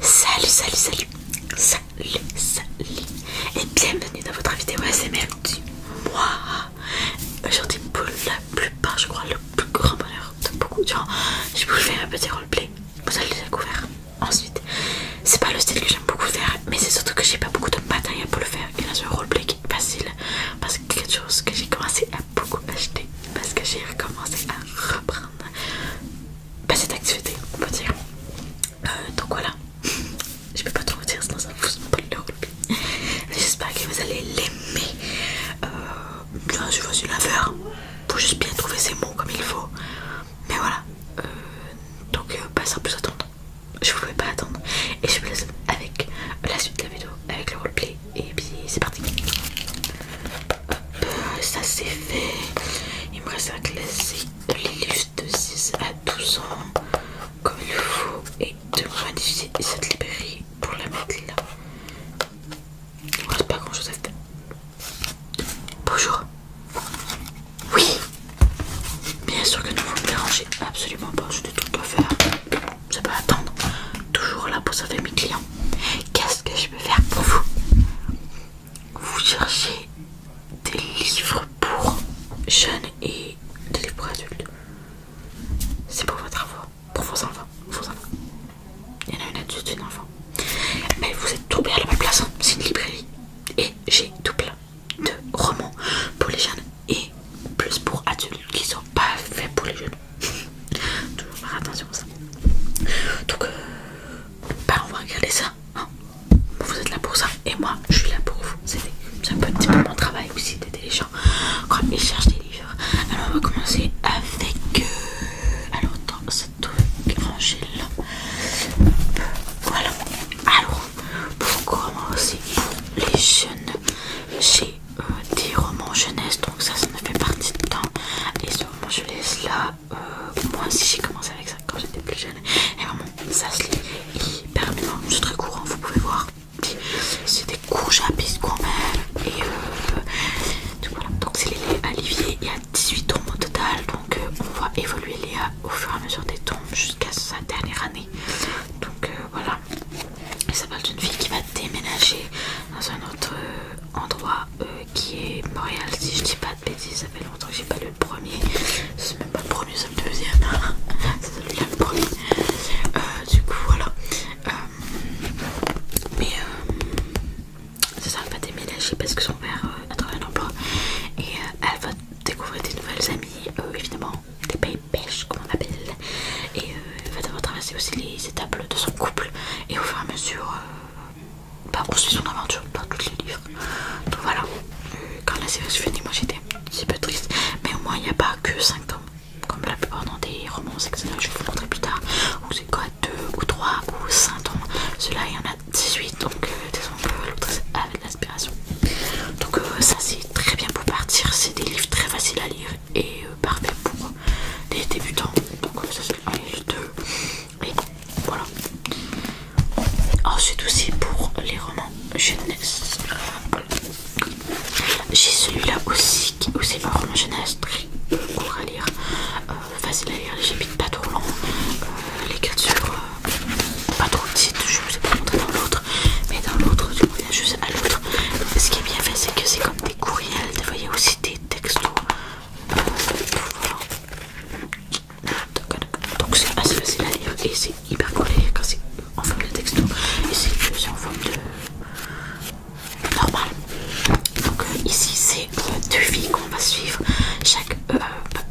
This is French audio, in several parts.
Salut, salut, salut, salut, salut et bienvenue dans votre vidéo ASMR du mois. Aujourd'hui, pour la plupart, je crois, le plus grand bonheur de beaucoup de gens, je vous fais un petit roleplay. Vous allez le découvrir. Ensuite, c'est pas le style que j'aime beaucoup faire, mais c'est surtout que j'ai pas beaucoup de matériel pour le faire. Et là, c'est un roleplay qui est facile parce que quelque chose que j'ai commencé à beaucoup acheter parce que j'ai recommencé à reprendre bah, cette activité, on peut dire. Euh, donc voilà, je peux pas trop vous dire sinon ça vous pas le roleplay. j'espère que vous allez l'aimer. Bien euh, je vais laveur, faire. Faut juste bien trouver ses mots comme il faut. Mais voilà, euh, donc pas euh, bah, ça plus attendre, je voulais pouvais pas attendre. Et je vous laisse avec la suite de la vidéo, avec le roleplay. Et puis c'est parti. Hop, euh, ça c'est fait. Il me reste à classer l'illustre de 6 à 12 ans comme il faut et de modifier cette librairie pour la mettre là. Il me reste pas grand chose à faire. Bonjour. Oui Bien sûr que ne vous me dérangez absolument pas, je des trucs à faire. Ça peut attendre. Toujours là pour sauver mes clients. Qu'est-ce que je peux faire pour vous Vous cherchez des livres pour jeunes et des livres pour adultes. C'est pour votre enfant, pour vos enfants, Il y en a une adulte, une enfant. Mais vous êtes trop bien à la même place, hein. c'est une librairie. Et j'ai tout plein de romans pour les jeunes et plus pour adultes qui sont pas faits pour les jeunes. Toujours faire attention à ça. Donc, euh, bah, on va regarder ça. Hein. Vous êtes là pour ça et moi je suis là pour vous. C'est un petit peu mon travail aussi d'aider les gens quand ils cherchent des livres. Alors, on va commencer avec. Euh, alors alors, cette Voilà. Alors, pour commencer, pour les jeunes, j'ai euh, des romans jeunesse, donc ça, ça me fait partie de temps. et moment, je jeunesse, là, euh, moi aussi j'ai commencé avec ça quand j'étais plus jeune. Et vraiment, ça se lit hyper bien. C'est très courant, vous pouvez voir. C'est des à piste quand même. Et euh, donc voilà, donc c'est les Olivier et à 18 tombes au total, donc euh, on va évoluer Léa au fur et à mesure des tombes jusqu'à sa dernière année. Donc euh, voilà, ça parle d'une fille qui va déménager dans un autre euh, endroit qui est Montréal, si je dis pas de bêtises, ça fait longtemps que j'ai pas lu le premier, c'est même pas le premier, c'est le deuxième, hein. c'est celui-là le premier. du coup voilà, mais c'est ça, elle va déménager parce que son père a trouvé un emploi et elle va découvrir des nouvelles amies, euh, évidemment des pays pêche comme on appelle, et va euh, devoir traverser aussi les étapes de son couple. Et au fur et à mesure, poursuivre euh, bah, son aventure dans tous les livres. Donc voilà, quand la série se finit, moi j'étais un peu triste, mais au moins il n'y a pas que 5 ans comme la plupart dans des romans, Je vais vous montrer plus tard, où c'est quoi 2 ou 3 ou 5 ceux Cela, il y en a 18 donc euh, des l'autre avec l'aspiration donc euh, ça c'est très bien pour partir c'est des livres très faciles à lire et euh, parfaits parfait pour les débutants donc ça c'est le 2 et voilà ensuite aussi pour les romans jeunesse j'ai celui là aussi qui aussi un roman jeunesse très court à lire facile à lire, les chapitres pas trop longs, euh, les cartes sur euh, pas trop petites, je vous ai pas montré dans l'autre, mais dans l'autre, du je reviens juste à l'autre. Ce qui est bien fait, c'est que c'est comme des courriels, vous voyez aussi des textos. Euh, Donc c'est assez facile à lire et c'est hyper cool quand c'est en forme de texto et c'est en forme de normal. Donc ici c'est deux qu'on va suivre. Chaque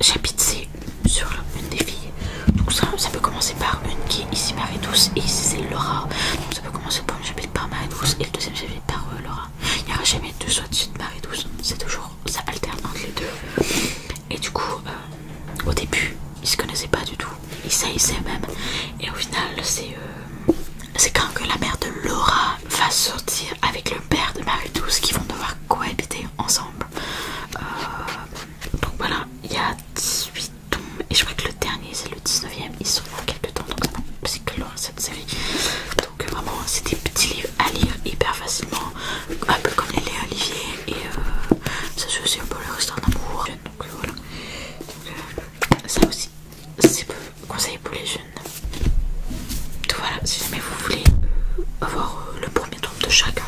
chapitre c'est sur une des filles. Donc ça, ça peut commencer par une qui est ici Marie Douce et ici c'est Laura. Donc ça peut commencer par une chapitre par Marie Douce et le deuxième chapitre par euh, Laura. Il n'y aura jamais deux soit de Marie Douce. C'est toujours, ça alterne entre les deux. Et du coup, euh, au début, ils ne se connaissaient pas du tout. Ils saillissaient même. Et au final, euh, c'est quand que la mère de Laura va sortir avec le père de Marie Douce qu'ils vont devoir cohabiter ensemble. Euh, donc voilà, il y a 18 tomes et je crois que le dernier c'est le 19ème, ils sont dans quelques temps, donc c'est que loin cette série. Donc euh, vraiment c'est des petits livres à lire hyper facilement, un peu comme les Léa Olivier et euh, ça joue aussi un peu le reste d'amour. Donc voilà, ça aussi c'est conseillé pour les jeunes. Donc voilà, si jamais vous voulez avoir euh, le premier tome de chacun,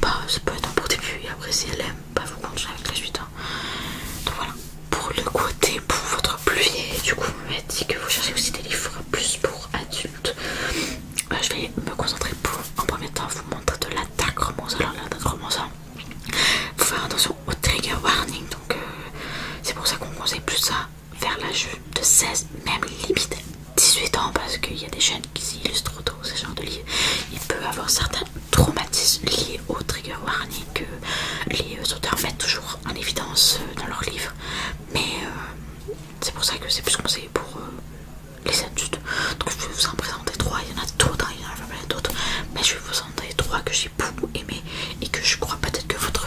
bah ça peut être un bon début et après si elle aime, bah vous continuez avec la suite. Hein. Donc voilà, pour le côté pour votre pluvier, du coup vous m'avez dit que vous cherchez aussi des livres plus pour adultes. Bah, je vais me concentrer pour en premier temps vous montrer de l'attaque romance. Alors l'attaque romance, faut faire attention au trigger warning, donc euh, c'est pour ça qu'on conseille plus ça vers l'âge de 16, même limite 18 ans, parce qu'il y a des jeunes qui s'illustrent trop tôt ce genre de livre. Il peut avoir certains traumatismes liés au trigger warning que les euh, auteurs mettent toujours en évidence euh, dans leurs livres. Mais euh, c'est pour ça que c'est plus conseillé pour les adultes. Donc je vais vous en présenter trois, il y en a d'autres, hein, il y en a d'autres, mais je vais vous en présenter trois que j'ai beaucoup aimé et que je crois peut-être que votre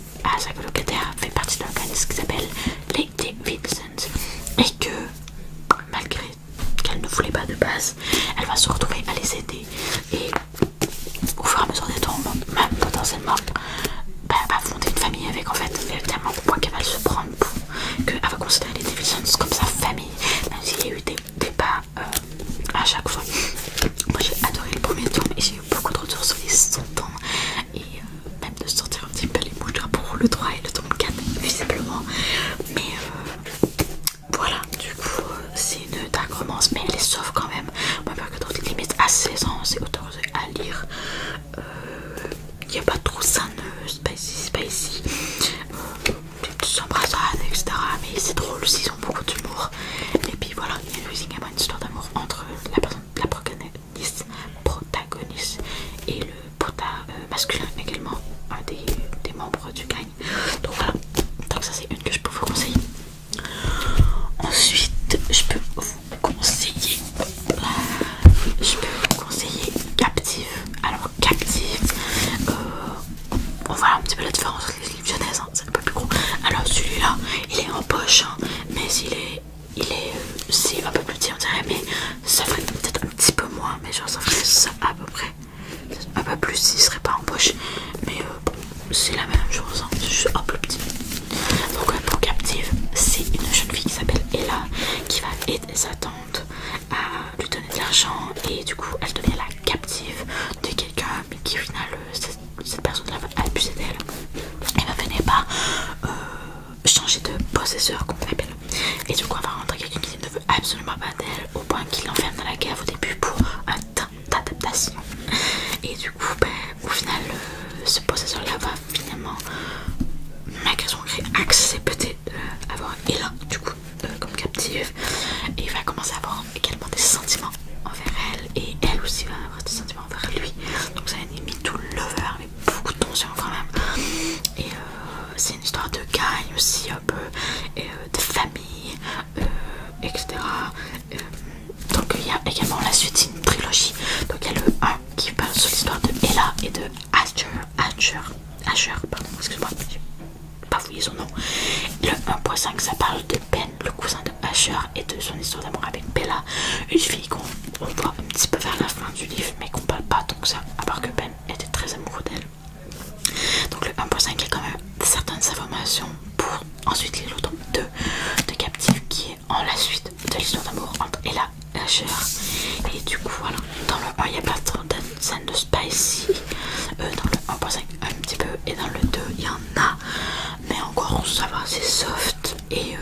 à sa colocataire fait partie d'un organisme qui s'appelle les Davidsons et que malgré qu'elle ne voulait pas de base, elle va se retrouver à les aider et au fur et à mesure des temps, même potentiellement, bah, elle va fonder une famille avec en fait véritablement pourquoi qu'elle va se prendre pour qu'elle va considérer les Davidsons comme sa famille même s'il y a eu des débats euh, à chaque fois. Moi j'ai adoré le premier tour et j'ai beaucoup de retours sur les 100 ans et euh, même de sortir un petit peu les mouches pour le 3 et le 34 visiblement. Mais euh, voilà, du coup, euh, c'est une dark romance, mais elle est sauve quand même. On pas que dans les limites à 16 ans, c'est autorisé à lire. Il n'y a pas trop ça, spicy, spicy. des petites embrassades, etc. Mais c'est drôle, ils ont beaucoup d'humour. Et puis voilà, il y a une histoire d'amour entre la, personne, la protagoniste, et le protagoniste euh, masculin également, un des, membres du gang. Donc voilà, donc ça c'est une que je peux vous conseiller. Ensuite, je peux vous conseiller, je peux vous conseiller Captive. Alors Captive, euh, on un petit peu la différence Hein, c'est un peu plus gros. Alors celui-là, il est en poche, hein, mais il est, il est, un euh, peu plus petit, on dirait, mais ça ferait peut-être un petit peu moins, mais genre ça ferait ça à peu près, un peu plus s'il serait pas en poche, mais euh, bon, c'est la même chose, hein, c'est juste un peu petit. Donc un pour Captive, c'est une jeune fille qui s'appelle Ella qui va aider sa tante à lui donner de l'argent et du coup elle devient la captive de quelqu'un mais qui au final, euh, cette, personne-là va abuser d'elle et va venir pas euh, changer de possesseur Comme on l'appelle Et du coup, on va rentrer quelqu'un qui ne veut absolument pas d'elle au point qu'il l'enferme dans la cave au début pour un temps d'adaptation. Et du coup, ben, au final, euh, ce possesseur-là va finalement, malgré son gré, accepter d'avoir un Ella du coup comme captive et va commencer à avoir également des sentiments envers elle et elle aussi va avoir des sentiments envers lui. Donc c'est un anime tout lover avec beaucoup de tension quand même. Et euh, c'est une histoire de gagne aussi un peu, euh, de famille, euh, etc. donc il y a également la suite, c'est une trilogie. Donc il y a le 1 qui parle sur l'histoire de Ella et de Asher. Asher, pardon, excuse-moi, j'ai pas fouillé son nom. Le 1.5 ça parle de Ben, le cousin de Asher, et de son histoire d'amour avec Bella, une fille qu'on voit un petit peu vers la fin du livre, mais qu'on parle pas tant que ça, à part que Ben était très amoureux d'elle. Donc le 1.5 est quand même certaines informations pour ensuite les le 2 de Captive qui est en la suite de l'histoire d'amour entre Ella et chère Et du coup voilà, dans le 1 il y a pas tant de scènes de spicy, euh, dans le 1.5 un petit peu et dans le 2 il y en a mais encore ça va, c'est soft et euh,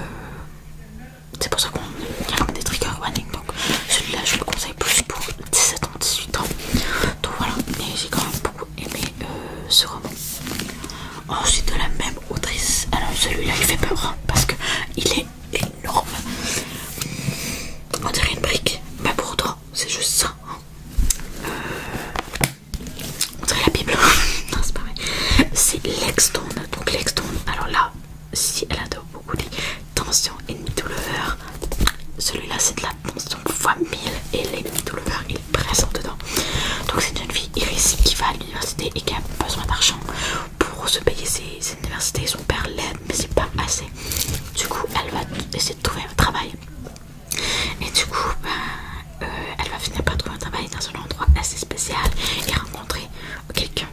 c'est pour ça qu'on a des trigger warning. Donc celui-là, je le conseille plus pour 17 ans, 18 ans. Donc voilà, mais j'ai quand même beaucoup aimé euh, ce roman. Ensuite, de la même autrice, alors celui-là il fait peur hein, parce qu'il est énorme. On dirait une brique, mais pourtant c'est juste ça. Hein. Euh, on dirait la Bible. non, c'est pas vrai. C'est Donc, Lexton. alors là, si elle adore beaucoup les tensions et douleurs, celui-là c'est de la tension fois 1000 et les douleurs il est présent dedans. Donc, c'est une fille irrésistible qui va à l'université et qui a besoin d'argent pour se payer ses universités. Son père l'aide, mais c'est pas assez. Du coup, elle va essayer de trouver un travail et du coup, bah, euh, elle va finir par trouver un travail dans un endroit assez spécial et rencontrer quelqu'un.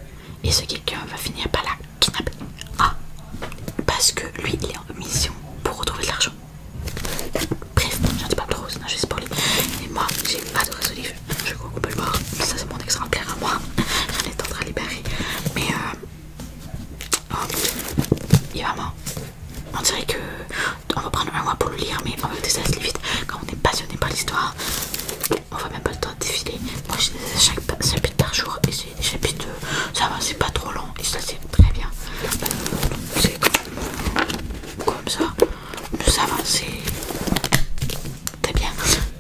Et ce quelqu'un va finir par la kidnapper. Ah, parce que lui, il est en mission pour retrouver de l'argent. Bref, j'en dis pas trop, sinon je vais spoiler. Et moi, j'ai adoré ce livre. Je crois qu'on peut le voir. Ça, c'est mon exemplaire à moi. J'en ai tenté à libérer. Mais, euh, oh, il est vraiment on dirait que on va prendre un mois pour le lire, mais on va le ça vite. Quand on est passionné par l'histoire, on va même pas le temps de défiler. Moi, j'ai des chaque chapitre par jour et c'est des chapitres, ça va, c'est pas trop long et ça c'est très bien. C'est comme, ça, ça va, c'est très bien.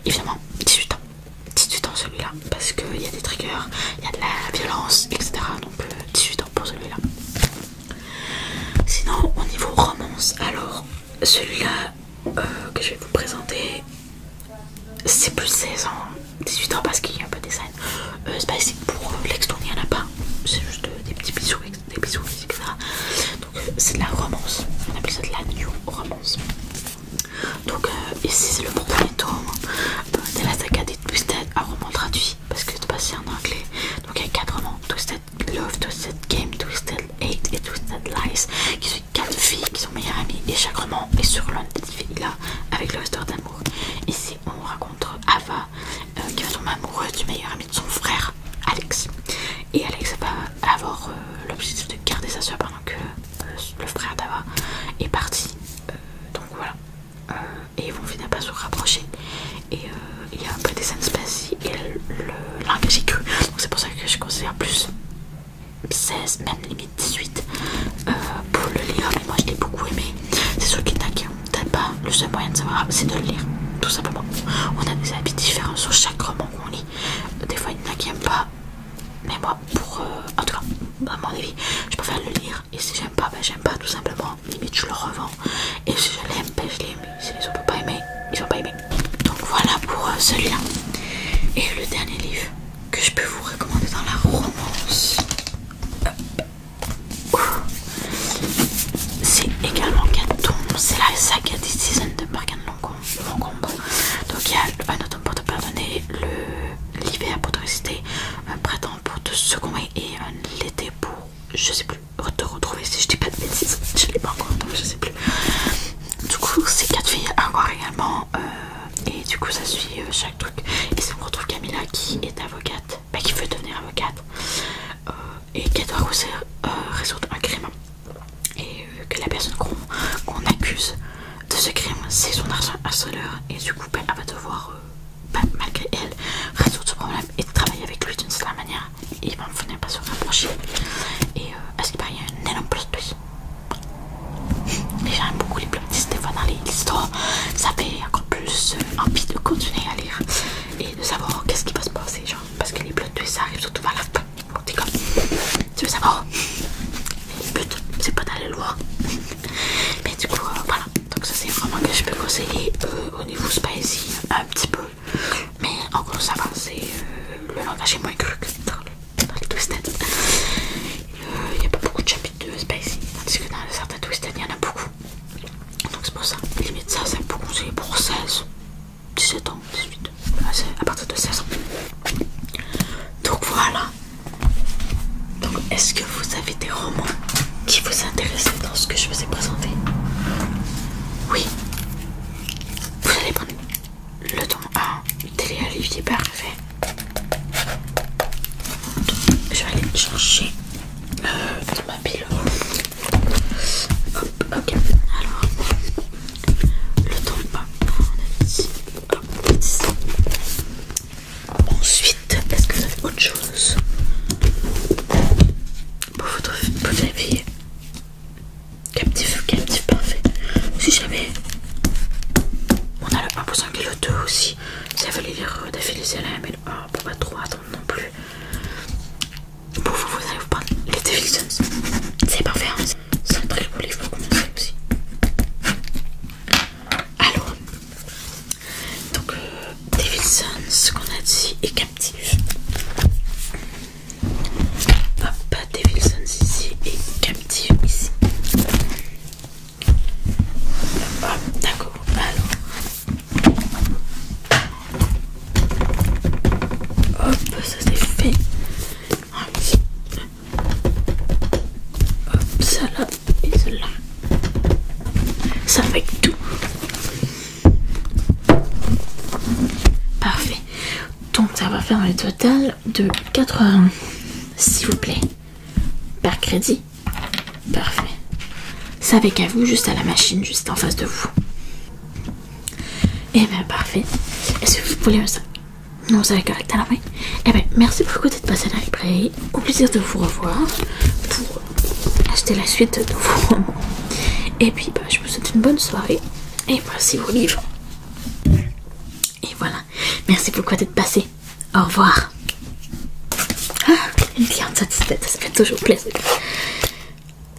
Évidemment, 18 ans, 18 ans celui-là, parce qu'il y a des triggers, il y a de la violence, etc. Donc 18 euh, ans pour celui-là. Sinon, au niveau romance, alors celui-là euh, que je vais vous présenter, c'est plus 16 ans, 18 ans parce qu'il y a un peu des scènes. Euh, c'est pas ici pour euh, il n'y en a pas. C'est juste euh, des petits bisous, des bisous, etc. Donc, c'est de la romance. On appelle ça de la new romance. Donc, ici, c'est le premier tome de la saga des Twisted à roman traduit parce que c'est passé en anglais. Donc il y a 4 romans Twisted Love, Twisted Game, Twisted Hate et Twisted Lies qui sont 4 filles qui sont meilleures amies et chaque roman est sur l'un de ces filles là avec le histoire d'amour. Ici on raconte Ava euh, qui va tomber amoureuse du meilleur ami de son frère Alex et Alex va avoir euh, l'objectif de garder sa soeur pendant que euh, le frère d'Ava est parti. donc voilà, euh, et ils vont finalement pas se rapprocher. Et euh, il y a un peu des scènes spécifiques et le langage Donc c'est pour ça que je considère plus 16, même limite 18 euh, pour le lire. Mais moi je l'ai beaucoup aimé. C'est sûr qu'il n'a peut pas le seul moyen de savoir, c'est de le lire, tout simplement. On a des habits différents sur chaque roman qu'on lit. Des fois il y en qui pas. Mais moi, pour. en tout cas, à mon avis, je préfère le lire et si j'aime pas, ben j'aime pas tout simplement. Limite, je le revends. Et si je l'aime, ben, je l'aime. Si les autres n'ont pas aimé, ils n'ont pas aimé. Donc voilà pour euh, celui-là. Et le dernier livre que je peux vous recommander dans la romance, c'est également Canton. C'est la saga des saisons de Morgan Longcombe. Donc il y a un autre pour te le l'hiver pour te résister, un printemps pour te seconder et un l'été pour je sais plus, te retrouver si je dis pas de bêtises, je l'ai pas encore donc je sais plus. Du coup, c'est quatre filles encore également, euh, et du coup, ça suit euh, chaque truc. Et ça on retrouve Camilla qui est avocate, bah, qui veut devenir avocate, euh, et qui doit résoudre un crime. Et que la personne qu'on accuse de ce crime, c'est son argent harceleur, et du coup, bah, elle va devoir malgré elle, résoudre ce problème et travailler avec lui d'une certaine manière. Et ils vont venir par se rapprocher. Et est euh, ce qu'il paraît, y a un énorme plot twist. Et j'aime beaucoup les plot de Stéphane dans les histoires. Ça fait encore plus euh, envie de continuer à lire et de savoir qu'est-ce qui va se passer. Genre, parce que les plot ça arrive surtout vers la fin. tu veux savoir? Le but, c'est pas d'aller loin, mais du coup euh, voilà donc ça c'est vraiment que je peux conseiller euh, au niveau spicy un petit peu mais en gros ça va c'est euh, le langage est moins cru que dans le, twisted il n'y a pas beaucoup de chapitres de spicy tandis que dans certains twisted il y en a beaucoup donc c'est pour ça limite ça c'est pour conseiller pour 16 17 ans 18 à partir de 16 ans donc voilà donc est-ce que vous avez des romans qui vous intéressaient dans ce que je vous ai présenté Oui Vous allez prendre le ton A télé alivier parfait Je vais aller chercher euh, dans ma pile Hop, ok, alors le temps, A, on hop, Ensuite, est-ce que vous avez autre chose pour votre vie éveiller Captif, captif, parfait. Si jamais on a le 1% y le 2 aussi, ça valait les redéfiler à la ml pour pas trop attendre non plus. Pour vous, vous pas... vous les défilés. Sons. C'est parfait, hein c'est un très beau livre pour commencer aussi. Alors, donc, euh, ce qu'on a dit, est captif. Hop, Sons ici est captif ici. Hop, d'accord. hop, ça c'est fait. Ah hop, ça là, et là Ça fait tout. Parfait. Donc ça va faire un total de 80, s'il vous plaît, par crédit. Parfait. Ça avec à vous, juste à la machine, juste en face de vous. Et eh bien, parfait. Est-ce que vous voulez un sac Non, ça va correct à la fin. bien, merci beaucoup d'être passé à Au plaisir de vous revoir pour acheter la suite de vos Et puis bah, je vous souhaite une bonne soirée et voici vos livres. Et voilà, merci beaucoup d'être passé. Au revoir. Ah, une cliente satisfaite, ça fait toujours plaisir.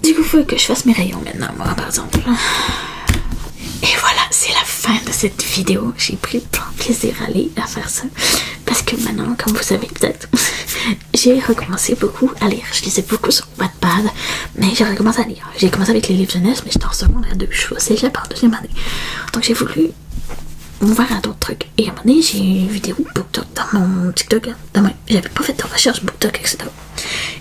Du coup, faut que je fasse mes rayons maintenant, moi, par exemple. Et voilà, c'est la fin de cette vidéo. J'ai pris plein de plaisir à, aller, faire ça. parce que maintenant, comme vous savez peut-être, j'ai recommencé beaucoup à lire. Je lisais beaucoup sur Wattpad, mais j'ai recommencé à lire. J'ai commencé avec les livres jeunesse, mais j'étais en secondaire deux je suis au part en deuxième année. Donc j'ai voulu voir un autre truc. Et à un moment donné, j'ai une vidéo BookTok dans mon TikTok. Hein, j'avais pas fait de recherche BookTok, etc.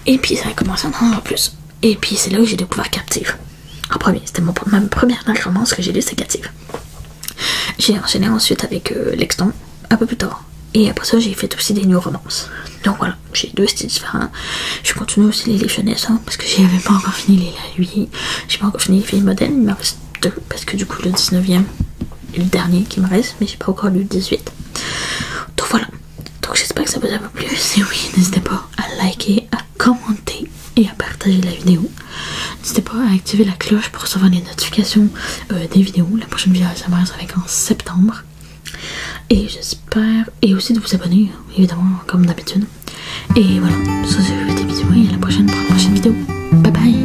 Et puis ça a commencé à en plus. Et puis c'est là que j'ai découvert Captive. En premier, c'était mon, ma première romance que j'ai lu, c'est Captive. J'ai enchaîné ensuite avec euh, l'extant un peu plus tard. Et après ça, j'ai fait aussi des new romances. Donc voilà, j'ai deux styles différents. Je continue aussi les légendes hein, parce que j'avais pas encore fini les la J'ai pas encore fini les films modèles, il me reste deux parce que du coup, le 19e est le dernier qui me reste, mais j'ai pas encore lu le 18. Donc voilà. Donc j'espère que ça vous a plu. Si oui, n'hésitez pas à liker, à commenter, et à partager la vidéo. N'hésitez pas à activer la cloche pour recevoir les notifications euh, des vidéos. La prochaine vidéo ça sera avec en septembre. Et j'espère... Et aussi de vous abonner, évidemment, comme d'habitude. Et voilà, ça je vous fais bisous et à la prochaine pour la prochaine vidéo. Bye bye